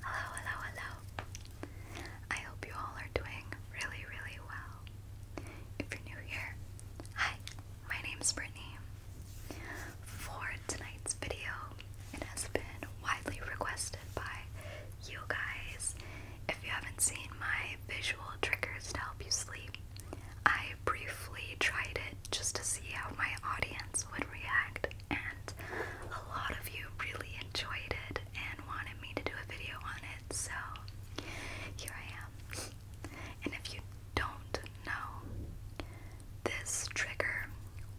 Hello, hello, hello. I hope you all are doing really, really well. If you're new here, hi, my name's Brittany. For tonight's video, it has been widely requested by you guys. If you haven't seen my visual triggers to help you sleep, I briefly tried it just to see how my audience would react and a lot of you really enjoyed it and wanted me to do a video on it, so here I am. And if you don't know, this trigger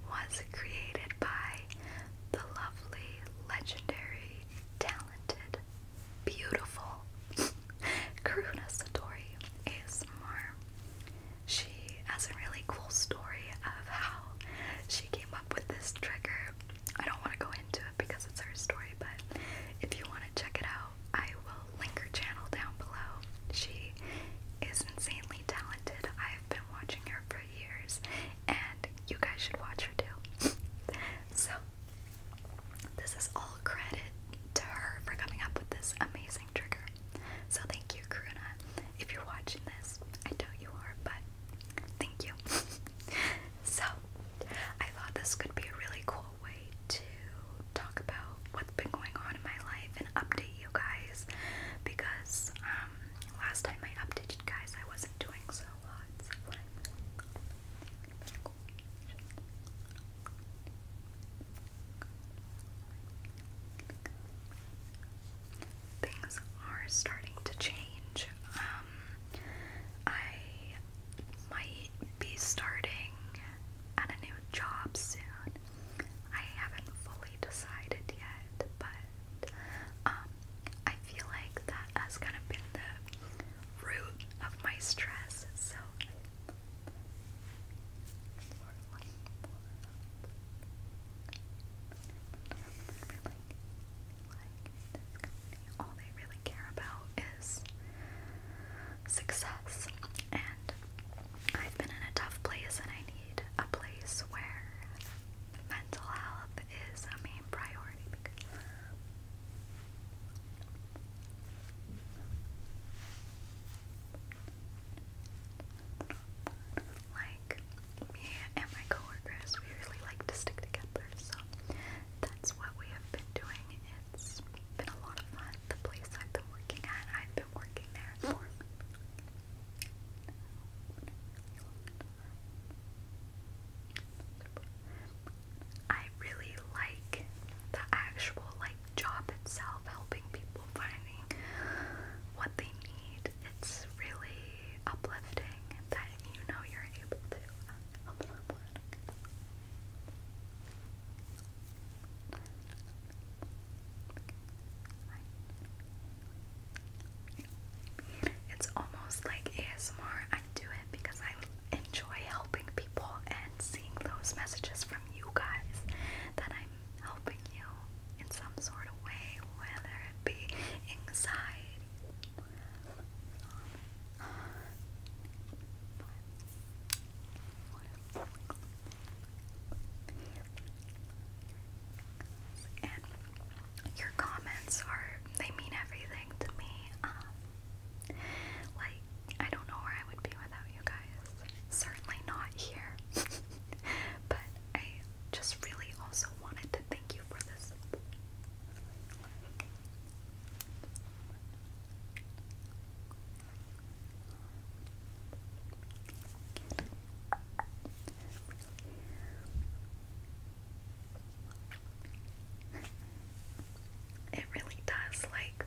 was created by the lovely, legendary, talented, beautiful Karuna Satori ASMR. She has a really cool story of how she came up with this trigger. I don't want to go into it because it's her story, but if you want to check it out, I will link her channel down below. She is insanely talented. I've been watching her for years, and you guys should watch her too. so, this is all credit to her for coming up with this amazing trigger. So thank you, Karuna. If you're watching this, I know you are, but thank you. so I thought this could be a really cool way to talk about what's been going on in my life and update you guys because um, last time I updated guys I wasn't doing so hot things are starting to change. Um, I might be starting at a new job soon. I haven't fully decided yet, but um, I feel like that has kind of been the root of my stress. So, like, this all they really care about is success. And I've been in a tough place, and I need a place where mental health is a main priority. Like me and my coworkers, we really like to stick together, so that's what we have been doing. It's been a lot of fun. The place I've been working at, I've been working there for I really like the actual like job itself, helping people finding what they need. It's really uplifting that you know you're able to help someone. It's almost like ASMR. I do it because I enjoy helping people and seeing those messages from you guys that I am helping you in some sort of way, whether it be anxiety. and your comments are, they mean everything to me. Um, like, I don't know where I would be without you guys certainly not here. but I just really also wanted to thank you for this. It really does like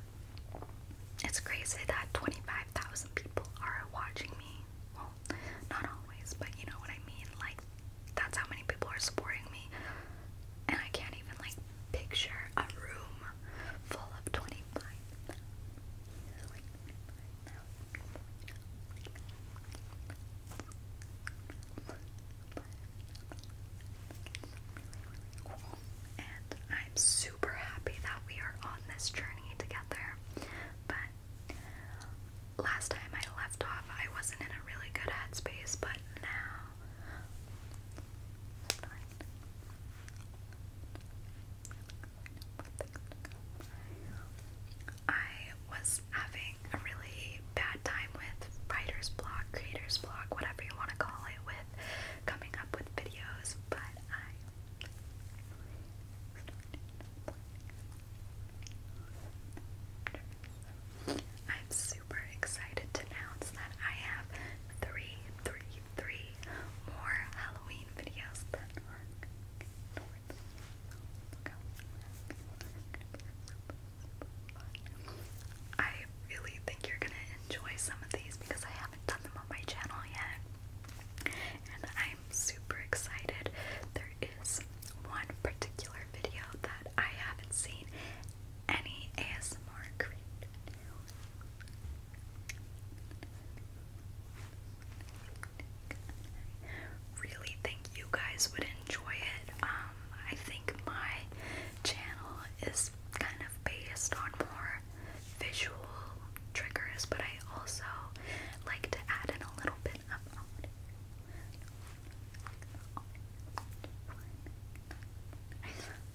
it's crazy that 25,000 people are watching me. Well, not always, but you know what I mean? Like, that's how many people are supporting me. And I can't even, like, picture a room full of 25. Cool and I'm super happy that we are on this journey together. But last time I left off, I wasn't in a really good headspace, but now. I was having a really bad time with writer's block, creator's block, whatever you want to call it, with coming up with videos, but I'm super excited to announce that I have three, three, three more Halloween videos I really think you're gonna enjoy some of these because I done them on my channel yet. And I'm super excited. There is one particular video that I haven't seen any ASMR created. Really think you guys would enjoy it. Um, I think my channel is kind of based on more visual triggers, but I also like to add in a little bit of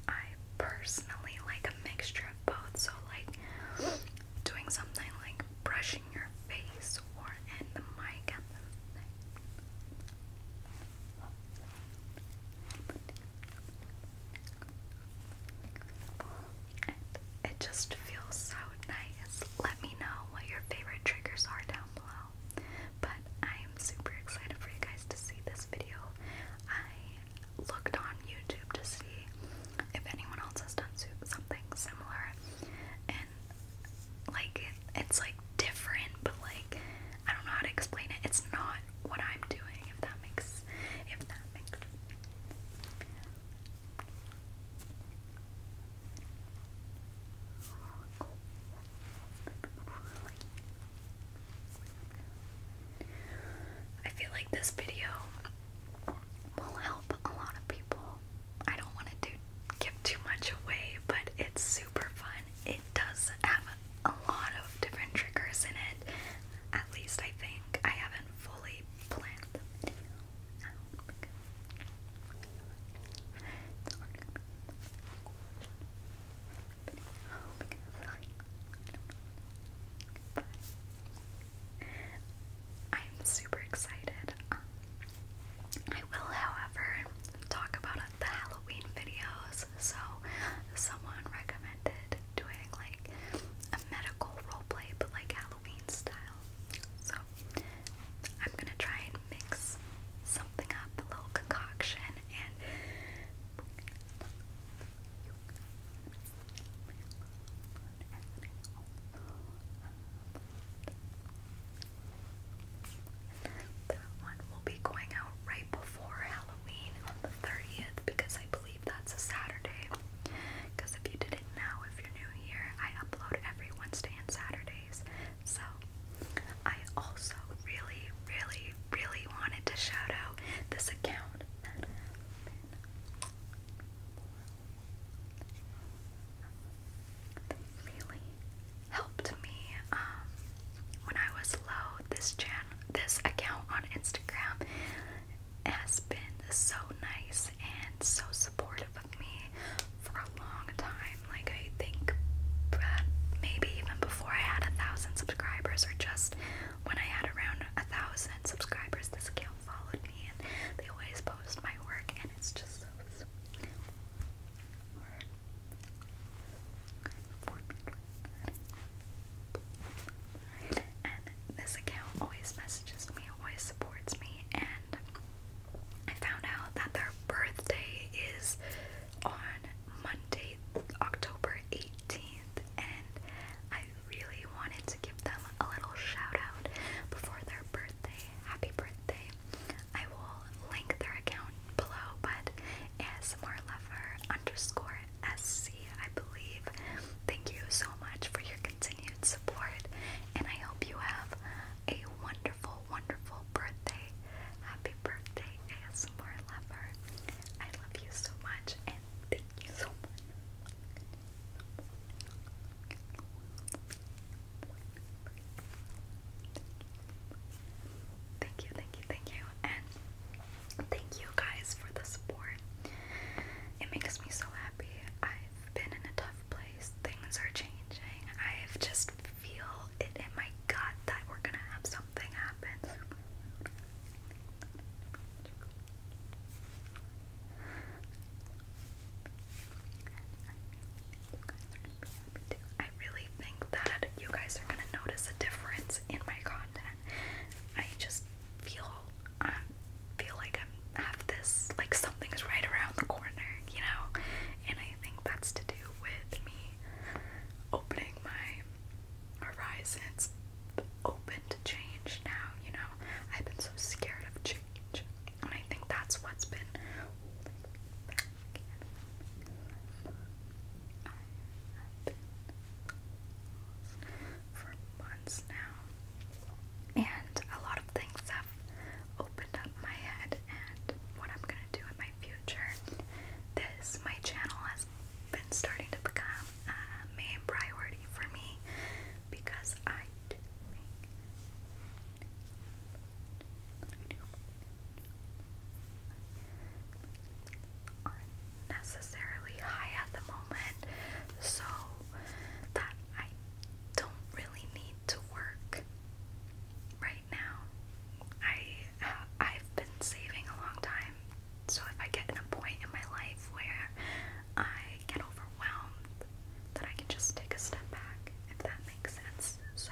I personally like a mixture of both, so like doing something like brushing your face or in the mic at the thing. It just feels so nice. Let me know what your favorite triggers are down below. But I am super excited for you guys to see this video. I looked on YouTube to see if anyone else has done something similar. And like it's like different, but like I don't know how to explain it. It's not what I'm doing, if that makes sense. I feel like this video will help a lot of people. I don't want to give too much away, but it's super fun it does have a lot of different triggers in it. At least I think I haven't fully planned the I'm super excited. I will, however, talk about the Halloween videos. So, someone recommended recommended doing like a medical roleplay, but like Halloween style. So I'm gonna try and mix something up, a little concoction, and that one will be going out right before Halloween. Halloween on the 30th because I believe that's a Saturday. Because if you didn't know, if you're new here, I upload every Wednesday and Saturdays. So I also really, really, really wanted to shout out this account. Really helped me um, when I was low, this channel, this account on Instagram has been so nice and so supportive of me for a long time. Like I think maybe even before I had a thousand subscribers, or just when I had around a thousand subscribers, this account followed me, and they always post my work, and it's just so. Sweet this account always messages me, always supports me, and I found out that their birthday is on Monday, October 18th, and I really wanted to give them a little shout out before their birthday. Happy birthday! I will link their account below, but ASMR lover underscore SC, I believe. Thank you so much for your continued support, and I hope you have a wonderful, wonderful birthday. Happy birthday, ASMR lover. I love you so much, and thank you so much. Thank you, thank you, thank you. And thank you guys for the support. It makes me so happy. I've been in a tough place. Things are changing. i just feel it in my gut that we're gonna have something happen. I really think that you guys are gonna notice a difference in my content. I just feel um, feel like I'm have this like something's right around the corner, you know, and I think that's to do with me opening my horizons, open to change now. You know, I've been so scared of change, and I think that's what's been been for months now, and a lot of things have opened up my head and what I'm gonna do in my future. This my channel has been starting to become a main priority for me because I necessarily high at the moment, so that I don't really need to work right now. I I've been saving a long time, so if I get in a point in my life where I get overwhelmed, that I can just take a step back, if that makes sense. So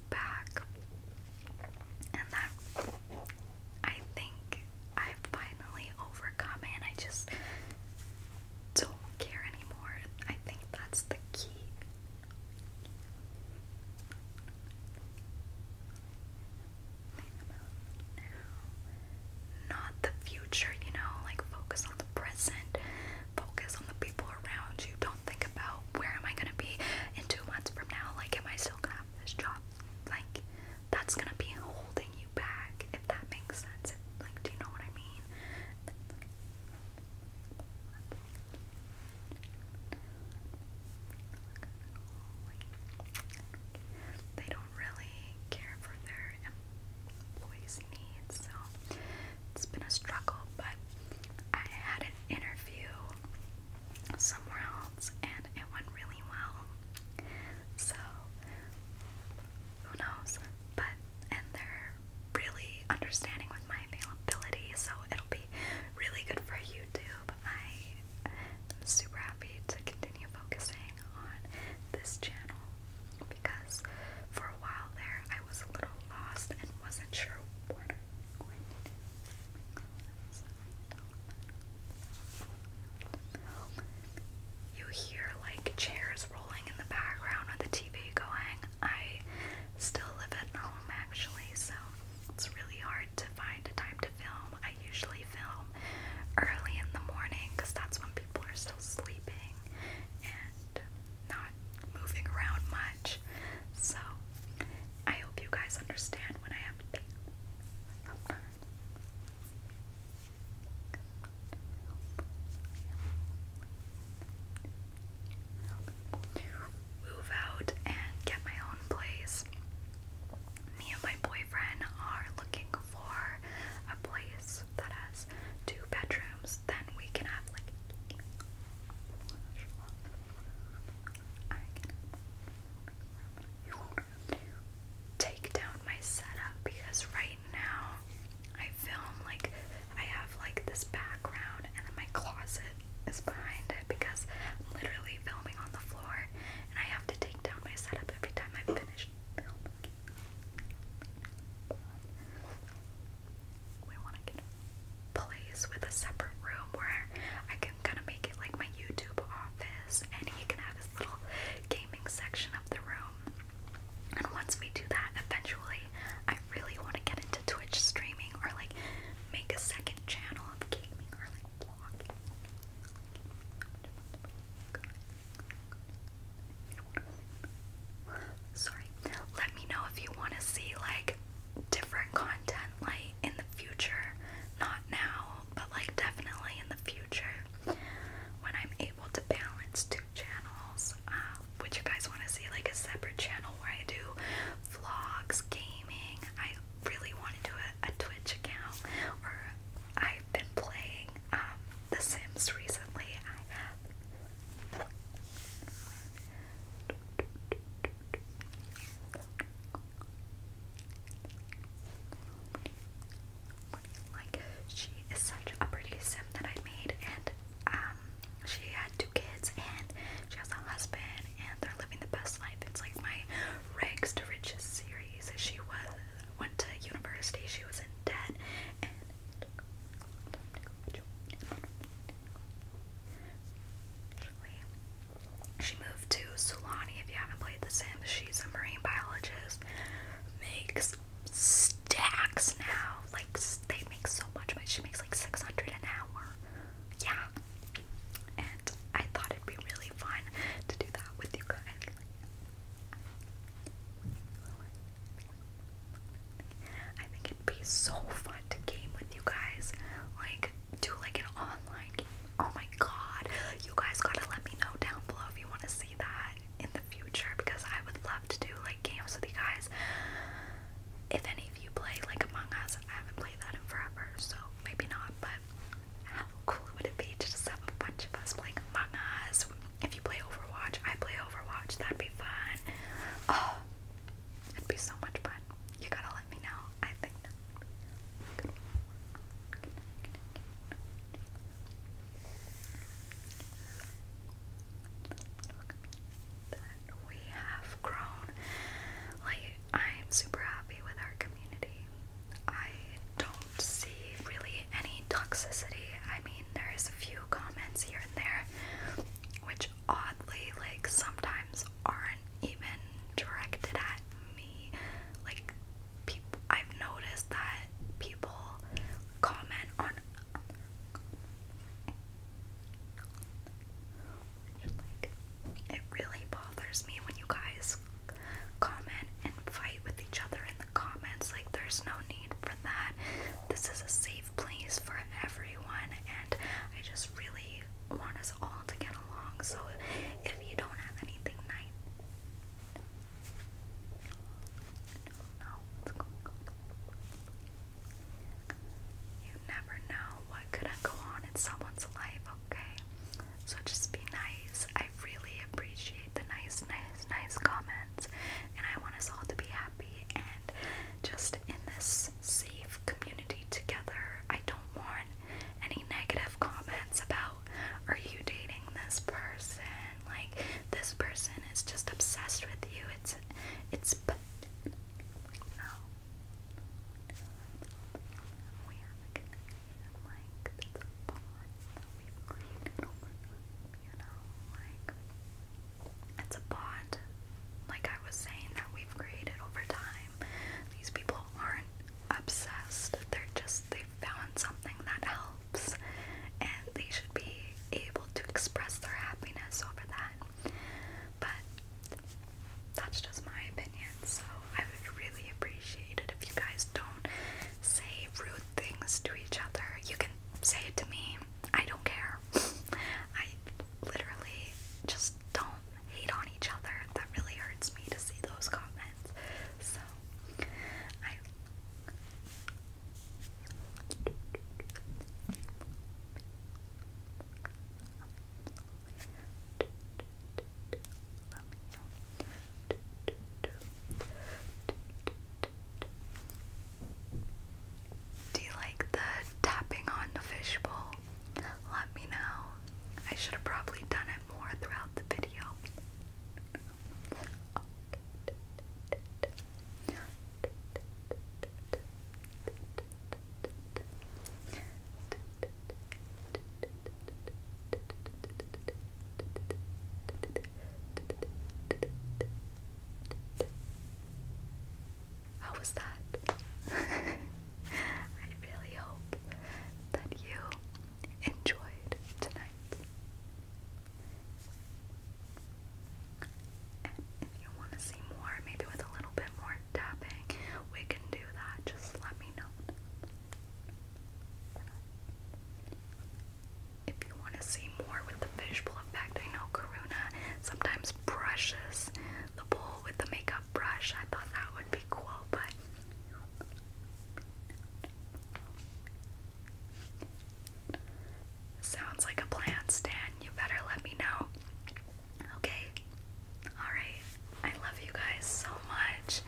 back. And that I think I finally overcome it I just don't care anymore. I think that's the key. Not the future, you know, like focus on the present, focus on the people around you. Don't think about where am I gonna be in two months from now, like am I still gonna this job. Like, that's gonna be holding you back, if that makes sense. like, do you know what I mean? They don't really care for their employees' needs, so it's been a struggle. But I had an interview somewhere else and it went really well. So who knows? But and they're really understanding with my availability, so it'll be really good for YouTube. I am super happy to continue focusing on this channel because for a while there I was a little lost and wasn't sure what I'm going to do. You hear like chairs rolling in the background with the TV going. I still live at home actually, so it's really hard to find a time to film. I usually film early in the morning because that's when people are still sleeping and not moving around much. So, I hope you guys understand when I have to. Move out and get my own place. Me and my boyfriend are looking for a place that has two bedrooms. Then we can have like take down my setup because right now I film like I have like this background and then my closet is behind it because I'm literally filming on the floor and I have to take down my setup every time I finish filming place with a separate room where I can kind of make it like my YouTube office, and he can have his little gaming section of the room. And once we do that, eventually, I really want to get into Twitch streaming or like make a second channel of gaming or like vlogging. Sorry. Let me know if you want to see like different content like in the future. Not now, but like definitely in the future when I'm able to balance two channels. Uh, would you guys want to see like a separate channel where I do vlogs, gaming? I really want to do a, Twitch account or I've been playing um, The Sims recently. I have like she is such a pretty sim that I made, and um, she had two kids, and she has a husband, and they're living the best life. It's like my rags to riches series. She was went to university. She was in debt, she moved to Sulani. If you haven't played The Sims, she's a marine biologist. Makes stacks now. Like they make so much money. She makes like six hundred an hour. Yeah. And I thought it'd be really fun to do that with you guys. I think it'd be so fun to game with you guys. Like, do like an online game. Oh my god. You guys gotta let me know down below if you want to see that in the future because I would love to do like games with you guys. If any of you play like Among Us, I haven't played that in forever, so maybe not, but how cool would it be to just have a bunch of us playing Among Us? If you play Overwatch, I play Overwatch, that'd be fun. Oh, It'd be so much fun. You gotta let me know. I think. we have grown. Like I'm super happy with our community. I don't see really any toxicity. I mean, there's a few comments here and there, which oddly like sometimes aren't even directed at me. Like people I've noticed that people comment on like it really bothers me when you guys comment and fight with each other in the comments. Like there's no need for that. This is a safe place for everyone, and I just really want us all to get along. So if you don't have anything nice, no, no. You never know what could go on in someone's life, okay? So just be nice. I really appreciate the nice, nice, nice comments, and I want us all to be happy. And just in this safe community together. I don't want any negative comments about are you dating this person? Like this person is just obsessed with you. It's it's it's a bond, like I was saying, that we've created over time. These people aren't obsessed, they're just, they've found something that helps, and they should be able to express their happiness over that. But that's just my opinion, so I would really appreciate it if you guys don't say rude things to each other. You can say it to me, I don't care. I literally just don't hate on each other. That really hurts me to see those comments. So I do you like the tapping on the fishbowl? Let me know. I should have probably done it more throughout the video. How was that? I really hope that you enjoyed tonight. if you want to see more, maybe with a little bit more tapping, we can do that. Just let me know if you want to see more with the fishbowl effect, I know Karuna sometimes brushes the bowl with the makeup brush. I thought that would be cool, but sounds like a plan, Stan. You better let me know. Okay. Alright. I love you guys so much,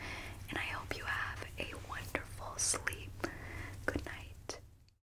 and I hope you have a wonderful sleep. Good night.